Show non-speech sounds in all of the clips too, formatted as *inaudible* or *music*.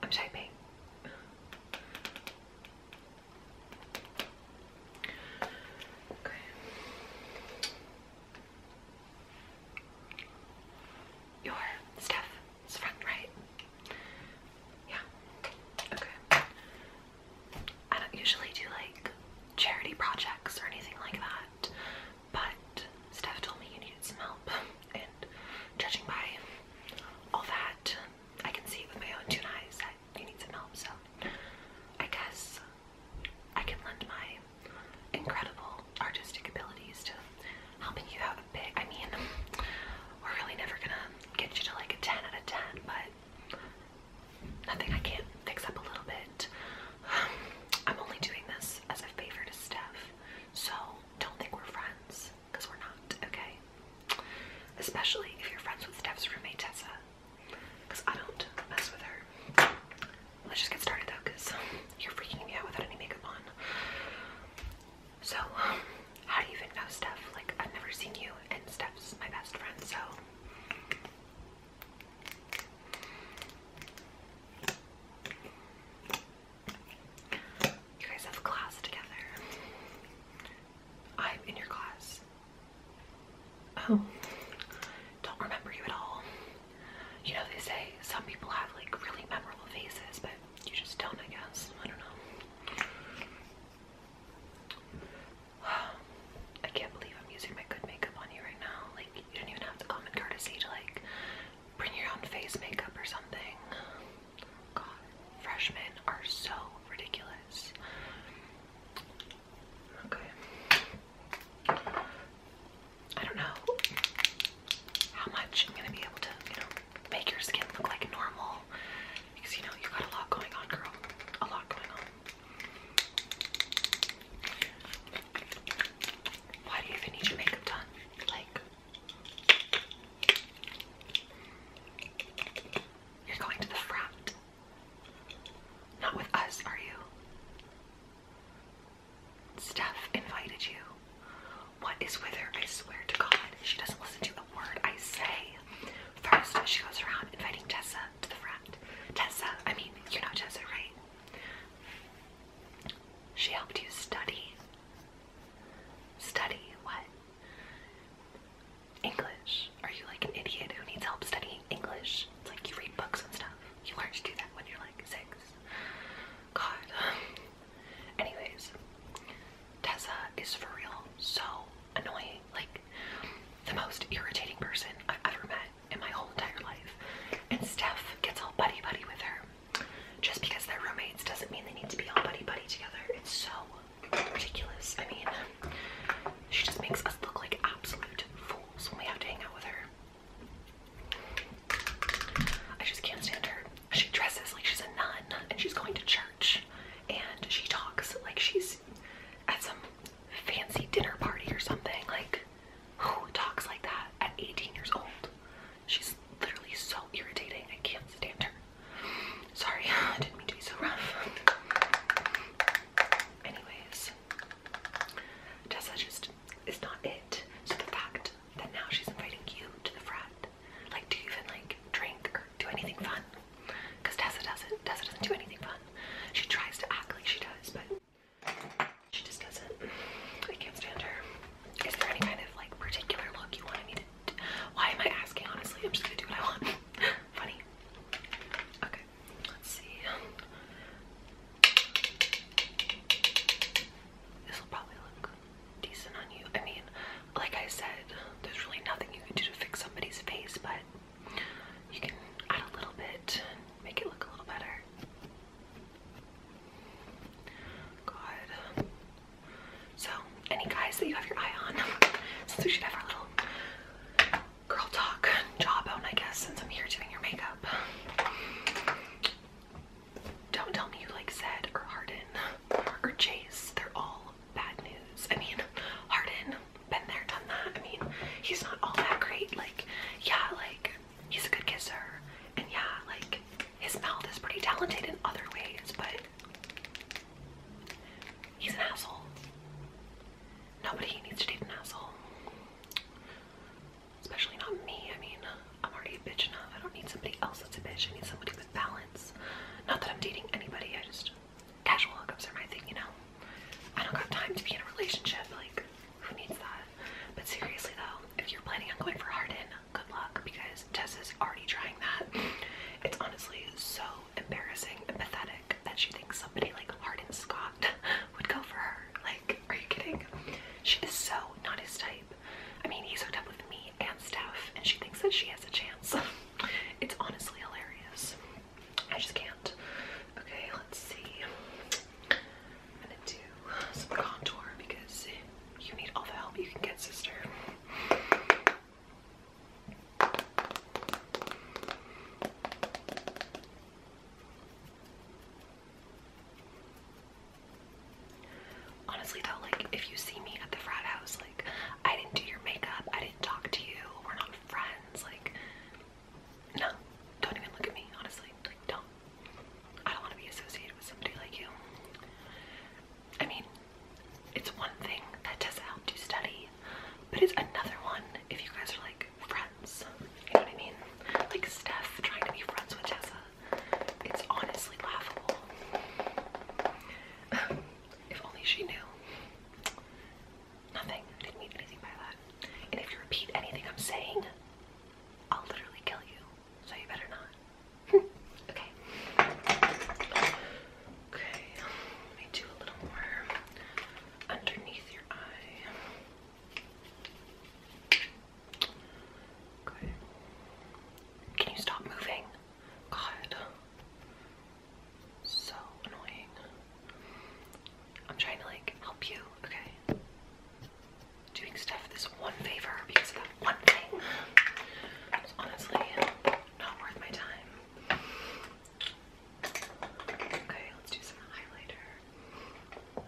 I'm typing. Your stuff. It's fun, right? Yeah. Okay. I don't usually do like charity projects or anything like that, but Steph told me you needed some help, and judging by all that, I can see with my own two eyes that you need some help, so I guess I can lend my incredible artistic abilities to helping you out I mean, we're really never gonna get you to like a 10 out of 10, but nothing I can't fix up a little bit. *sighs* I'm only doing this as a favor to Steph, so don't think we're friends, we're not, okay? Especially if you're friends with Steph's roommate, Tessa, because I don't mess with her. Let's just get started though, because you're freaking me out without any makeup on. So, um, how do you even know Steph? Like, I've never seen you, and Steph's my best friend, so. You guys have class together. I'm in your class. Oh, don't remember you at all. You know, they say some people have like really memorable faces, but you just don't, I guess. I don't know. *sighs* I can't believe I'm using my good makeup on you right now. Like, you don't even have the common courtesy to, like, bring your own face makeup or something. freshmen are so ridiculous. Okay. I don't know how much I'm gonna be able to, you know, make your skin look like normal. Because you know you got a lot going on, girl. A lot going on. Why do you even need your makeup done? Like you're going to the frat. Not with us, are you? Steph invited you. What is with her? I swear to God, she doesn't listen to a word I say. First, she goes around inviting Tessa to the front. Tessa, I mean, you are not Tessa, right? She helped you study. Study what? English. Are you like an idiot who needs help studying English? It's like you read books and stuff. You learn to do that when you're like six. God. *sighs* Anyways, Tessa is for real so annoying. Like, the most irritating person I've ever met in my whole entire life. And Steph gets all buddy buddy with her. Just because they're roommates doesn't mean they need to be all buddy buddy together. It's so ridiculous. I mean, she just makes us look like absolute fools when we have to hang out with her. I just can't stand her. She dresses like she's a nun and she's going to church and she talks like she's at some fancy dinner party or something. Like, who talks like that at 18 years old? She's literally so irritating. I can't stand her. Sorry, *laughs* I didn't mean to be so rough. Anyways, Tessa just is not it. So the fact front, now she's inviting you to the front. Like, do you even like drink or do anything fun? Because Tessa doesn't. Tessa doesn't do anything fun. She tries to act like she does, but she just doesn't. I can't stand her. Is there any kind of like particular look you wanted me to? Do? Why am I asking? Honestly, I'm just gonna do what I want. *laughs* Funny. Okay. Let's see. This will probably look decent on you. I mean, like I said, there's really nothing you can do to fix somebody's face, but you can add a little bit and make it look a little better. God. So, any guys that you have your eye on, *laughs* since we should have our little girl talk jawbone, I guess, since I'm here doing your makeup don't tell me you like said or Harden or Chase. They're all bad news. I mean, Harden, been there, done that. I mean, he's not all that great. Like, yeah, like he's a good kisser, and yeah, like his mouth is pretty talented in other ways, but he's an asshole. Nobody needs to date an asshole. Especially not me. I mean, I'm already a bitch enough. I don't need somebody else that's a bitch. I need somebody with balance. Not that I'm dating anybody. I just casual hookups are my thing, you know. I don't have time to be in a relationship. Like, who needs that? But seriously though, if you're planning on going for Harden, good luck because Tess is already trying that. It's honestly so embarrassing and pathetic that she thinks somebody like Harden Scott *laughs* would go for her. Like, are you kidding? She is so not his type. I mean, he's hooked up with me and Steph, and she thinks that she has a chance. *laughs* it's honestly hilarious. I just can't. Okay, let's see. I'm gonna do some contour because you need all the help you can get, sister. Honestly though, like if you see me at the frat house, like I didn't do your makeup, I didn't talk to you, we're not friends, like no, don't even look at me, honestly. Like don't. I don't want to be associated with somebody like you. I mean, it's one thing that Tessa helped you study, but it's another one if you guys are like friends. You know what I mean? Like Steph trying to be friends with Tessa. It's honestly laughable. *sighs* if only she knew. Nothing. didn't mean anything by that. And if you repeat anything I'm saying, I'll literally kill you. So you better not. *laughs* okay. Okay. do a little more underneath your eye. Can you stop moving? God. So annoying. I'm trying to like help you, okay? Doing stuff this one favor because of that one thing. honestly not worth my time. Okay, let's do some highlighter.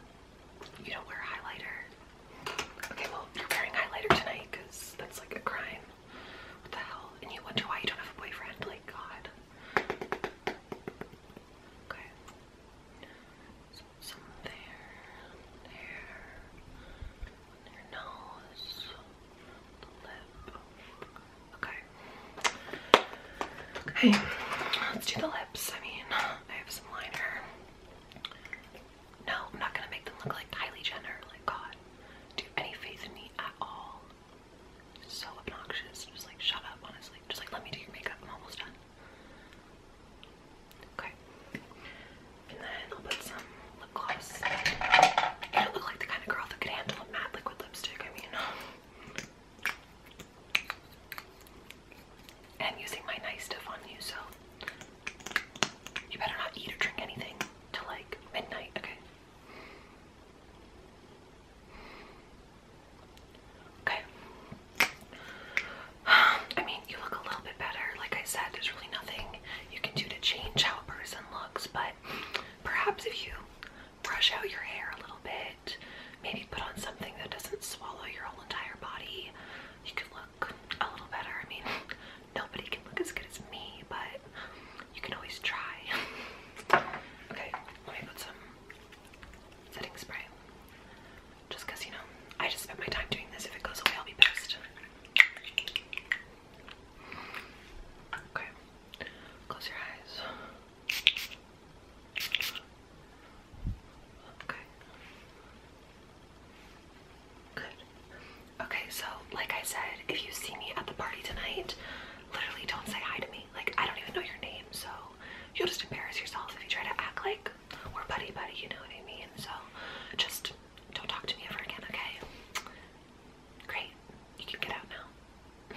You don't wear highlighter. Okay, well, you're wearing highlighter tonight because that's like a crime. What the hell? And you wonder why you don't have a boyfriend? Like, God. Okay. So, there, there, nose, the lip. Okay. Okay, let's do the lips. I mean, I have some liner. No, I'm not gonna make them look like Kylie Jenner. Like God, do any faith in me at all? so obnoxious. Just like shut up, honestly. Just like let me do your makeup. I'm almost done. Okay. And then I'll put some lip gloss. I look like the kind of girl that could handle a matte liquid lipstick. I mean and using my nice stuff on you, so you better not eat or drink anything till like midnight, okay? Okay. *sighs* I mean, you look a little bit better. Like I said, there's really nothing you can do to change how a person looks, but perhaps if you brush out your hair a little bit. Maybe put on something that doesn't swallow your whole entire body. You can look a little better. I mean, nobody can look as good as me, but you can always try. *laughs* okay, let me put some setting spray. Just you know, I just spent my time doing this. If it goes away, I'll be pissed. Okay, close your eyes. Okay. Good. Okay, so like I said, if you see me at the party tonight, literally don't say hi to me. Like I don't even know your name, so you'll just embarrass yourself if you try to act like we're buddy buddy, you know what I mean? So just don't talk to me ever again, okay? Great. You can get out now.